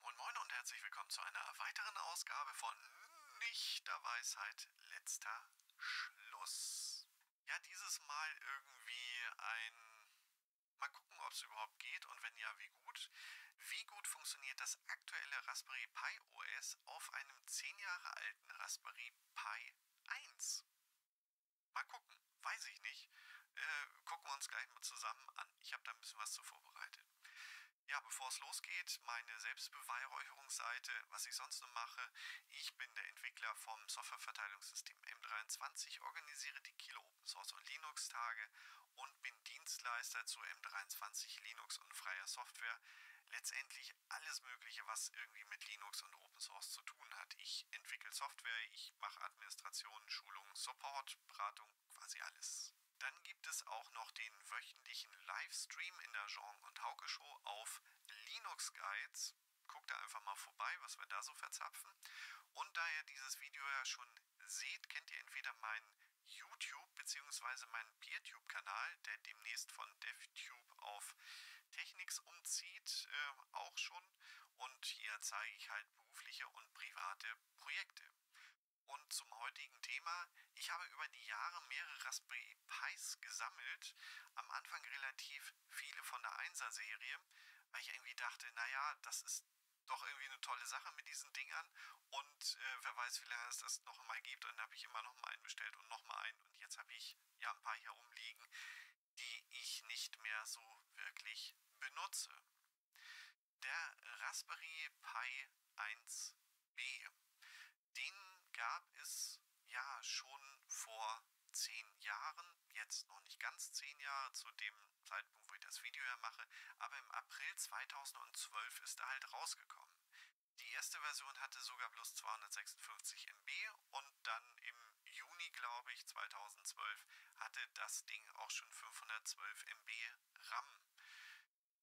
Moin Moin und herzlich willkommen zu einer weiteren Ausgabe von Nichterweisheit letzter Schluss. Ja, dieses Mal irgendwie ein. Mal gucken, ob es überhaupt geht und wenn ja, wie gut. Wie gut funktioniert das aktuelle Raspberry Pi OS auf einem 10 Jahre alten Raspberry Pi 1? Mal gucken, weiß ich nicht. Äh, gucken wir uns gleich mal zusammen an. Ich habe da ein bisschen was zu vorbereitet. Ja, bevor es losgeht, meine Selbstbeweihräucherungsseite, was ich sonst noch mache. Ich bin der Entwickler vom Softwareverteilungssystem M23, organisiere die Kilo Open Source und Linux Tage und bin Dienstleister zu M23 Linux und freier Software. Letztendlich alles Mögliche, was irgendwie mit Linux und Open Source zu tun hat. Ich entwickle Software, ich mache Administrationen, Schulungen, Support, Beratung quasi alles. Dann gibt es auch noch den wöchentlichen Livestream in der Jean und Hauke Show auf Linux Guides. Guckt da einfach mal vorbei, was wir da so verzapfen. Und da ihr dieses Video ja schon seht, kennt ihr entweder meinen YouTube bzw. meinen Peertube-Kanal, der demnächst von DevTube auf Technics umzieht, äh, auch schon. Und hier zeige ich halt berufliche und private Projekte. Und zum heutigen Thema. Ich habe über die Jahre mehrere Raspberry Pis gesammelt. Am Anfang relativ viele von der 1er Serie, weil ich irgendwie dachte, naja, das ist doch irgendwie eine tolle Sache mit diesen Dingern. Und äh, wer weiß, wie lange es das noch mal gibt. Und dann habe ich immer noch mal einen bestellt und noch mal einen. Und jetzt habe ich ja ein paar hier rumliegen, die ich nicht mehr so wirklich benutze. Der Raspberry Pi 1b, den gab es ja schon vor zehn Jahren, jetzt noch nicht ganz zehn Jahre zu dem Zeitpunkt, wo ich das Video ja mache, aber im April 2012 ist er halt rausgekommen. Die erste Version hatte sogar bloß 256 MB und dann im Juni, glaube ich, 2012 hatte das Ding auch schon 512 MB RAM.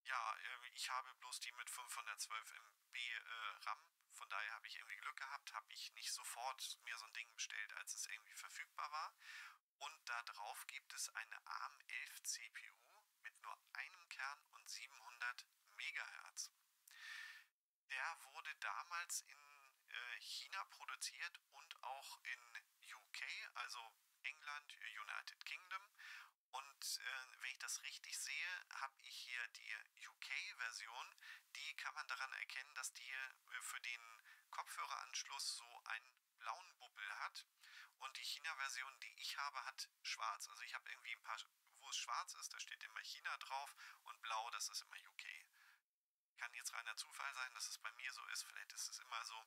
Ja, ähm, ich habe bloß die mit 512 MB äh, RAM. Von daher habe ich irgendwie Glück gehabt, habe ich nicht sofort mir so ein Ding bestellt, als es irgendwie verfügbar war. Und da drauf gibt es eine ARM 11 CPU mit nur einem Kern und 700 MHz. Der wurde damals in äh, China produziert und auch in UK, also England, United Kingdom. Und äh, wenn ich das richtig sehe, habe ich hier die UK-Version. Die kann man daran erkennen, dass die äh, für den Kopfhöreranschluss so einen blauen Bubbel hat. Und die China-Version, die ich habe, hat schwarz. Also ich habe irgendwie ein paar, wo es schwarz ist, da steht immer China drauf und blau, das ist immer UK. Kann jetzt reiner Zufall sein, dass es bei mir so ist, vielleicht ist es immer so,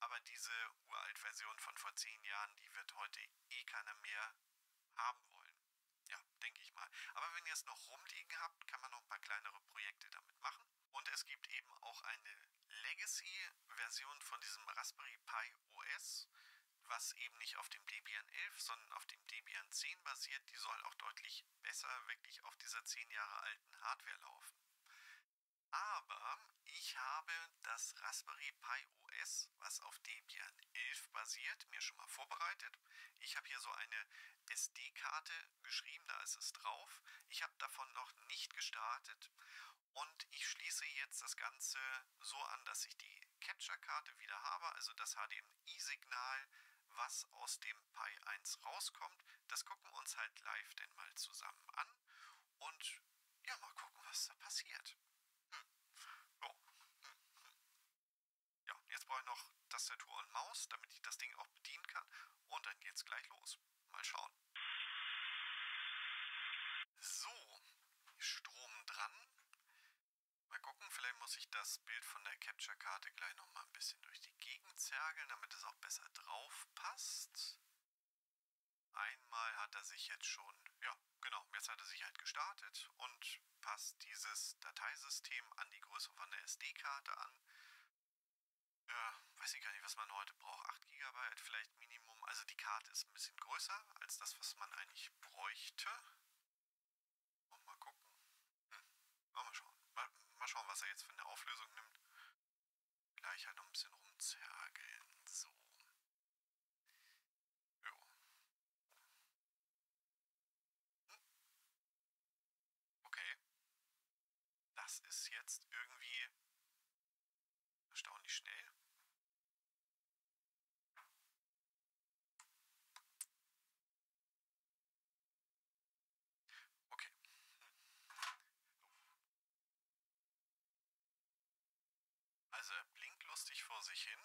aber diese uralt Version von vor zehn Jahren, die wird heute eh keiner mehr haben wollen. Ja, denke ich mal. Aber wenn ihr es noch rumliegen habt, kann man noch ein paar kleinere Projekte damit machen. Und es gibt eben auch eine Legacy-Version von diesem Raspberry Pi OS, was eben nicht auf dem Debian 11, sondern auf dem Debian 10 basiert. Die soll auch deutlich besser wirklich auf dieser 10 Jahre alten Hardware laufen. Aber ich habe das Raspberry Pi OS, was auf Debian 11 basiert, mir schon mal vorbereitet. Ich habe hier so eine SD-Karte geschrieben, da ist es drauf. Ich habe davon noch nicht gestartet und ich schließe jetzt das Ganze so an, dass ich die Capture-Karte wieder habe, also das HDMI-Signal, was aus dem Pi 1 rauskommt das gucken wir uns halt live denn mal zusammen an und ja, mal gucken, was da passiert. Hm. Ja. Hm. Hm. ja, jetzt brauche ich noch Tastatur und Maus, damit ich das Ding auch bedienen kann und dann geht's gleich los. Mal schauen. So, Strom dran. Mal gucken, vielleicht muss ich das Bild von der Capture-Karte gleich nochmal ein bisschen durch die die Gegend zergeln, damit es auch besser drauf passt. Einmal hat er sich jetzt schon, ja, genau, jetzt hat er sich halt gestartet und passt dieses Dateisystem an die Größe von der SD-Karte an. Äh, weiß ich gar nicht, was man heute braucht. 8 GB vielleicht Minimum. Also die Karte ist ein bisschen größer als das, was man eigentlich bräuchte. Und mal gucken. Hm. Mal, mal schauen. Mal, mal schauen, was er jetzt für eine Auflösung nimmt. Gleich halt noch ein bisschen rumzergeln. So. Jo. Hm. Okay. Das ist jetzt irgendwie erstaunlich schnell. Okay. Also er blinkt lustig vor sich hin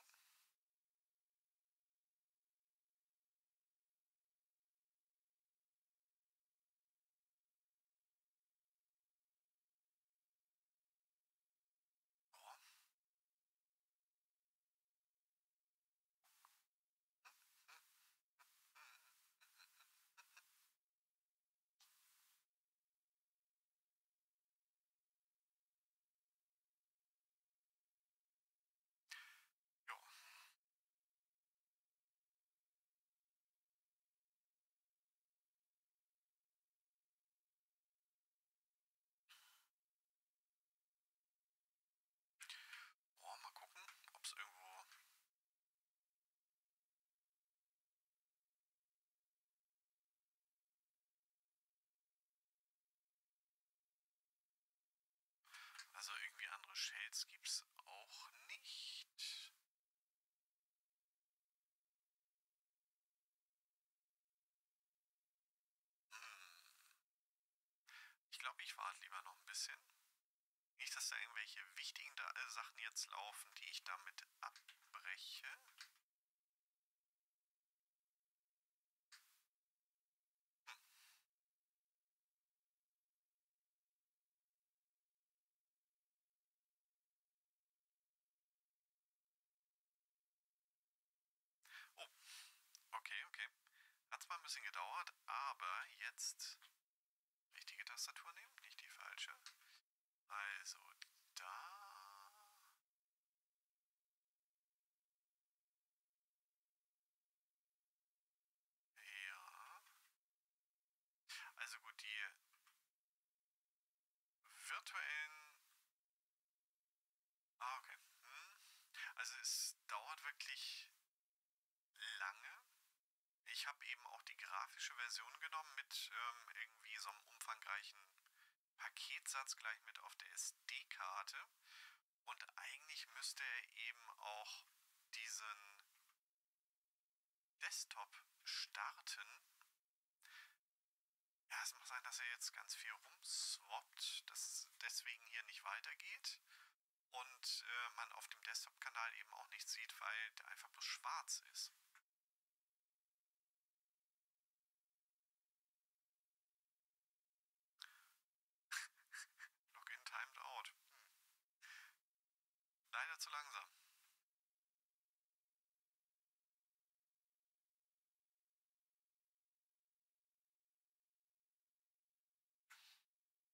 mal gucken, ob es irgendwo also irgendwie andere Shells gibt's auch nicht. Hm. Ich glaube, ich warte lieber noch ein bisschen. Nicht, dass da irgendwelche wichtigen äh, Sachen jetzt laufen, die ich damit abbreche. Oh, okay, okay. Hat zwar ein bisschen gedauert, aber jetzt richtige Tastatur nehmen, nicht die falsche. Also da. Ja. Also gut, die virtuellen. Ah, okay. Hm. Also es dauert wirklich lange. Ich habe eben auch die grafische Version genommen mit ähm, irgendwie so einem umfangreichen Paketsatz gleich mit auf der SD-Karte. Und eigentlich müsste er eben auch diesen Desktop starten. Ja, es mag sein, dass er jetzt ganz viel rumswappt, dass deswegen hier nicht weitergeht und äh, man auf dem Desktop-Kanal eben auch nichts sieht, weil der einfach bloß schwarz ist. Login timed out. Hm. Leider zu langsam.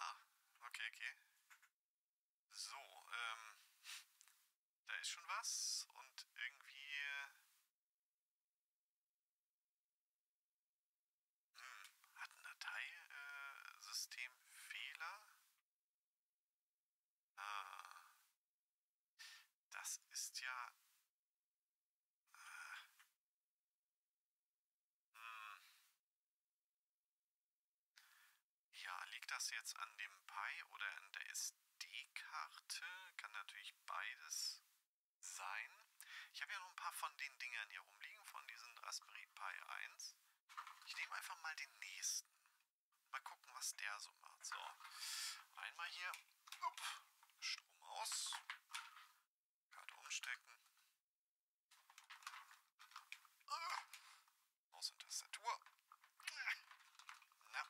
Ah, okay, okay. So, ähm, da ist schon was und irgendwie. Hm, hat ein Dateisystem äh, Fehler? Ah. Das ist ja. Ah. Hm. Ja, liegt das jetzt an dem Pi oder an der SD-Karte? Kann natürlich beides sein. Ich habe ja noch ein paar von den Dingern hier rumliegen, von diesen Raspberry Pi 1. Ich nehme einfach mal den nächsten. Mal gucken, was der so macht. So, einmal hier. Upp, Strom aus. Karte umstecken. Äh, Maus und Tastatur. Na.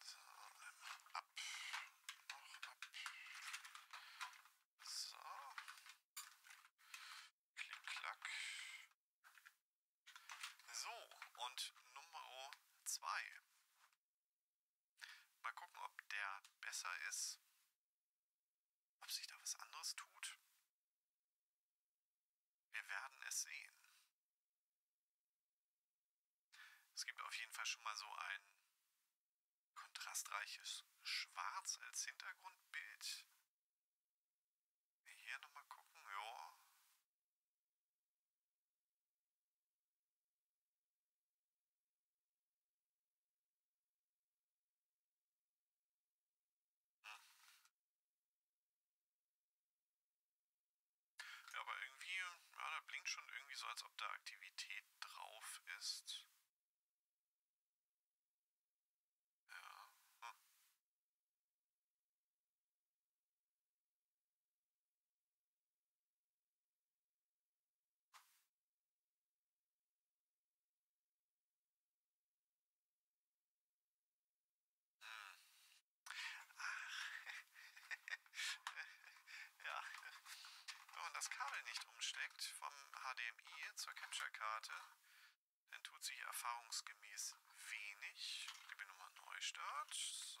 So, einmal ähm, ab. Noch ab. So. Klick, klack. So, und Nummer 2. Mal gucken, ob der besser ist. Ob sich da was anderes tut. Wir werden es sehen. Es gibt auf jeden Fall schon mal so ein kontrastreiches Schwarz als Hintergrundbild. Hier nochmal gucken, ja. Ja, aber irgendwie, ja, da blinkt schon irgendwie so, als ob da Aktivität drauf ist. Ja. Hm. Hm. ja. Wenn man das Kabel nicht umsteckt vom HDMI zur Capture-Karte, dann tut sich erfahrungsgemäß wenig. Ich gebe nochmal Neustart. So.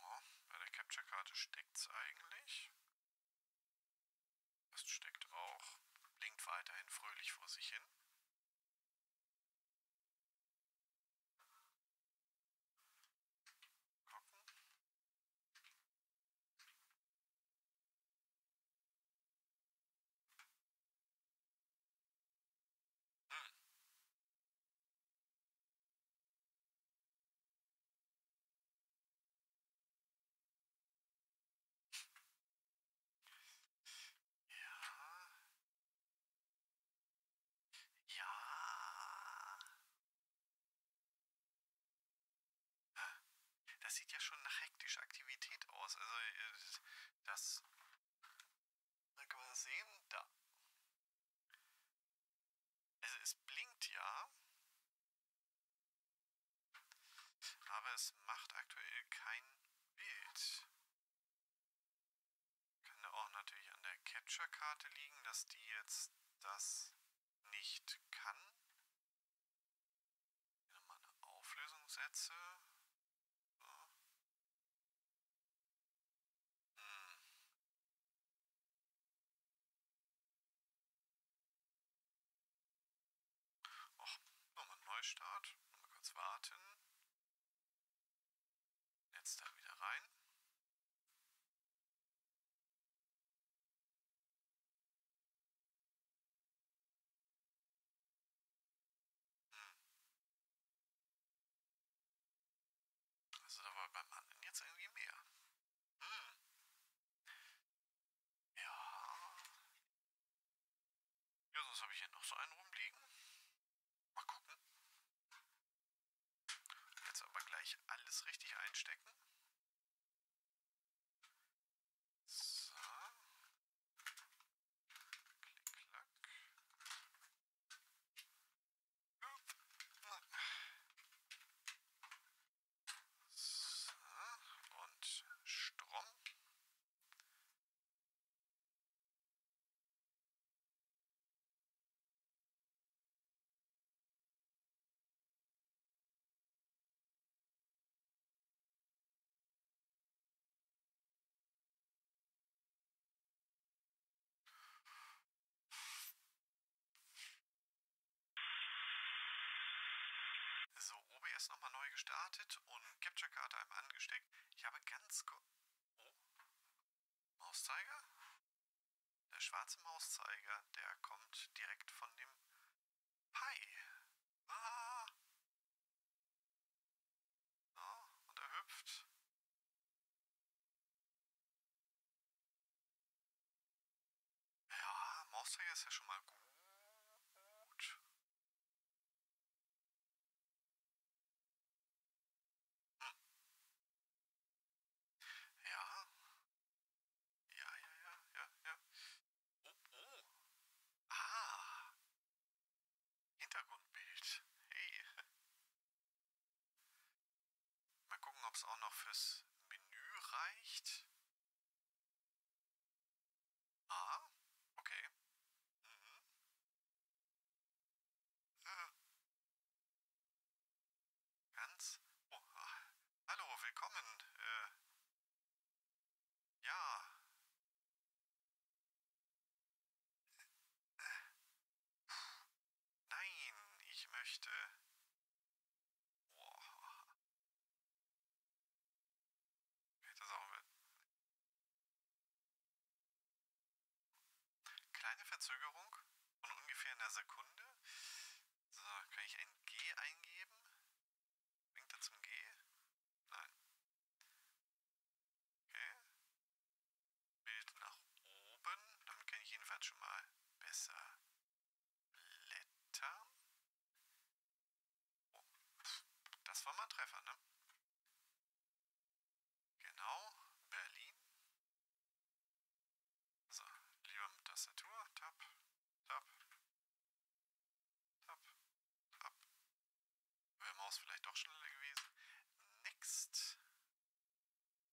Oh, bei der Capture-Karte steckt's eigentlich. Das steckt auch. Blinkt weiterhin fröhlich vor sich hin. Gucken. Hm das sieht ja schon nach hektischer Aktivität aus. Also äh, das. Da kann man das sehen? Da. Also es blinkt ja. Aber es macht aktuell kein Bild. Kann auch natürlich an der Capture-Karte liegen, dass die jetzt das nicht kann. Hier nochmal eine Auflösung setze. So. Hm. Och, nochmal Neustart. Mal kurz warten. Jetzt da wieder rein. Hm. Also da war beim anderen jetzt irgendwie mehr. Hm. Ja. Ja, sonst habe ich hier noch so einen rumliegen. Mal gucken. Jetzt aber gleich alles richtig einstecken. So. Klick, klack. So, und Strom. So, OBS nochmal neu gestartet und Capture-Karte einmal angesteckt. Ich habe ganz... Oh? Mauszeiger? Der schwarze Mauszeiger, der kommt direkt von dem Pi. Ah! Ja, ah, und er hüpft. Ja, Maustrager ist ja schon mal gut. Hm. Ja. Ja, ja, ja, ja, ja. Oh, oh. Ah. Hintergrundbild. Hey. Mal gucken, ob es auch noch fürs Menü reicht. Ah, okay. Mhm. Ja. Äh. Ganz. Oh, ah. hallo, willkommen. Äh. Ja. Äh. Nein, ich möchte. Boah. Ich hätte das auch mit. Kleine Verzögerung von ungefähr einer Sekunde. So, kann ich ein G eingeben? Bringt er zum G? Nein. Okay. Bild nach oben. Damit kann ich jedenfalls schon mal besser blättern. Oh, das war mal ein Treffer, ne? Genau, Berlin. So, lieber mit Tastatur. Tab, Tab, Tab, Tab. Wäre Maus vielleicht doch schneller gewesen. Next.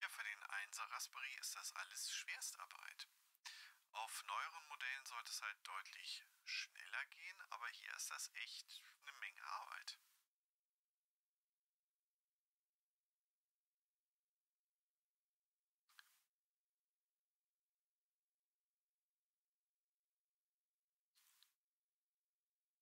Ja, für den 1er Raspberry ist das alles Schwerstarbeit. Auf neueren Modellen sollte es halt deutlich schneller gehen, aber hier ist das echt eine Menge Arbeit.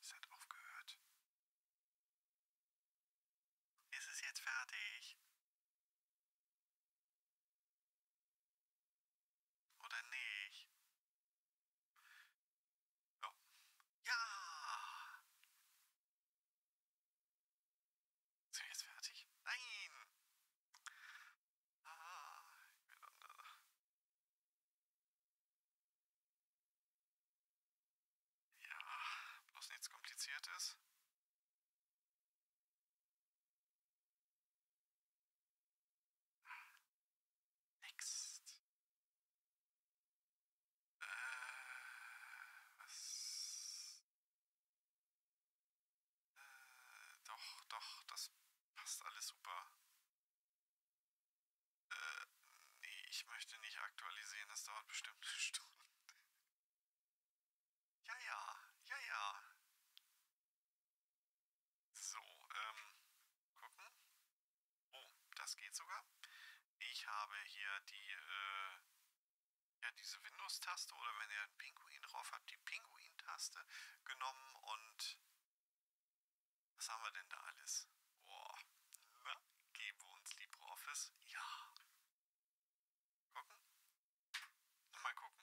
Es hat aufgehört. Ist es jetzt fertig? Oder nicht? Ja. Ja! Sind wir jetzt fertig? Nein! Ah, ich bin dann, äh Ja, bloß nichts Kompliziertes. Next. Äh, was? Äh, doch, doch, das passt alles super. Äh, nee, ich möchte nicht aktualisieren, das dauert bestimmt eine Stunde. Ja, ja, ja, ja. So, ähm, gucken. Oh, das geht sogar. Ich habe hier die, äh, ja, diese Windows-Taste oder wenn ihr einen Pinguin drauf habt, die Pinguin-Taste genommen und was haben wir denn da alles? Boah, na, geben wir uns LibreOffice? Ja. Gucken? Mal gucken.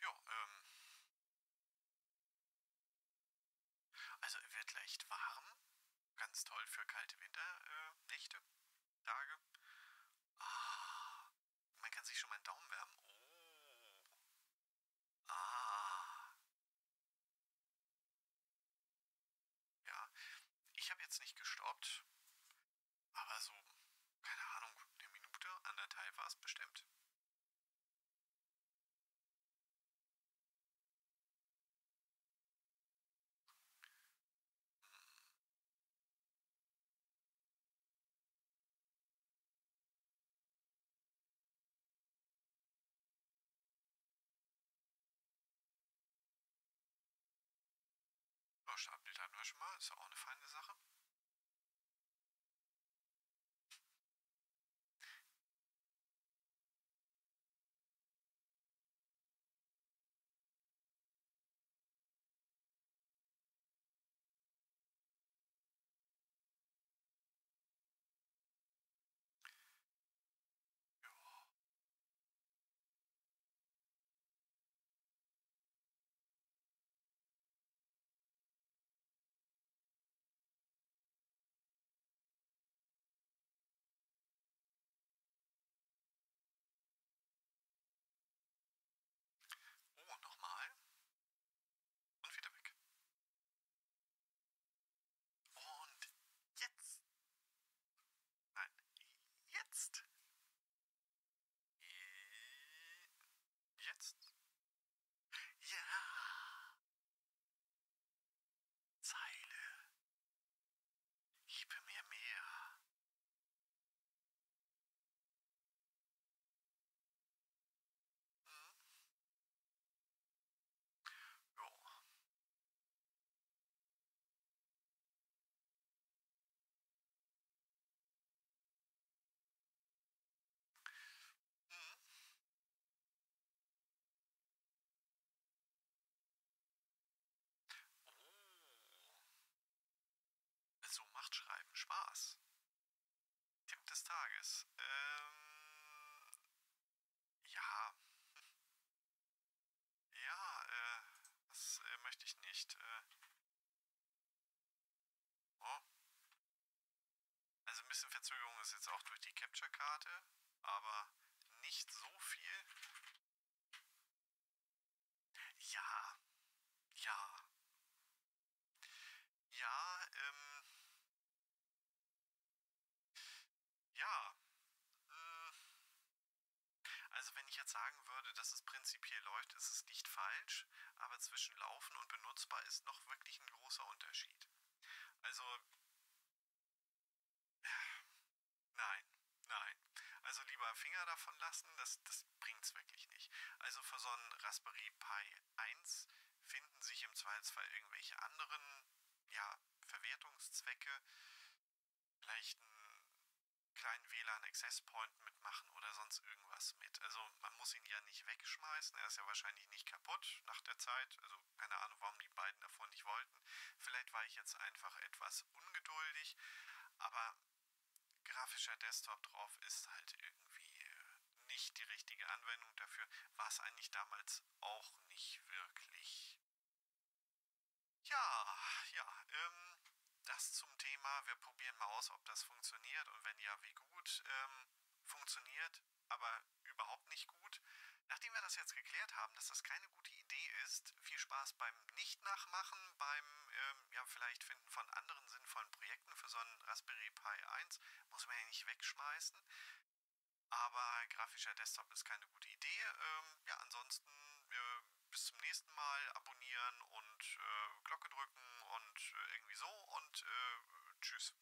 Ja, ähm. Also wird leicht warm. Ganz toll für kalte Winternächte, äh, Tage. Ah, man kann sich schon mal einen Daumen wärmen. Oh. Ah. Ja, ich habe jetzt nicht gestoppt, aber so, keine Ahnung, eine Minute, anderthalb war es bestimmt. Abbild hatten wir schon mal, ist ja auch eine feine Sache. Oh, nochmal. Und wieder weg. Und jetzt. Nein, jetzt. Äh, jetzt. Ja. Zeile. Gib mir mehr. Hm? Mhm. Oh. so macht Schreiben Spaß. Tipp des Tages. Ähm, ja. Ja, äh, das äh, möchte ich nicht. Äh. Oh. Also ein bisschen Verzögerung ist jetzt auch durch die Capture-Karte, aber nicht so viel. Ja. Ja. Ja, ähm. Ja, äh, also wenn ich jetzt sagen würde, dass es prinzipiell läuft, ist es nicht falsch, aber zwischen laufen und benutzbar ist noch wirklich ein großer Unterschied. Also nein, nein. Also lieber Finger davon lassen, das, das bringt's wirklich nicht. Also für so einen Raspberry Pi 1 finden sich im Zweifelsfall irgendwelche anderen ja, Verwertungszwecke vielleicht einen kleinen WLAN-Access-Point mitmachen oder sonst irgendwas mit. Also man muss ihn ja nicht wegschmeißen, er ist ja wahrscheinlich nicht kaputt nach der Zeit. Also keine Ahnung, warum die beiden davon nicht wollten. Vielleicht war ich jetzt einfach etwas ungeduldig, aber grafischer Desktop drauf ist halt irgendwie nicht die richtige Anwendung dafür. War es eigentlich damals das auch nicht wirklich. Ja, ja, ähm, das zum Thema. Wir probieren mal aus, ob das funktioniert und wenn ja, wie gut. Ähm, funktioniert, aber überhaupt nicht gut. Nachdem wir das jetzt geklärt haben, dass das keine gute Idee ist, viel Spaß beim Nicht-Nachmachen, beim ähm, ja, vielleicht Finden von anderen sinnvollen Projekten für so einen Raspberry Pi 1, muss man ja nicht wegschmeißen. Aber grafischer Desktop ist keine gute Idee. Ähm, ja, ansonsten äh, bis zum nächsten Mal abonnieren und äh, Glocke drücken und äh, irgendwie so und äh, tschüss.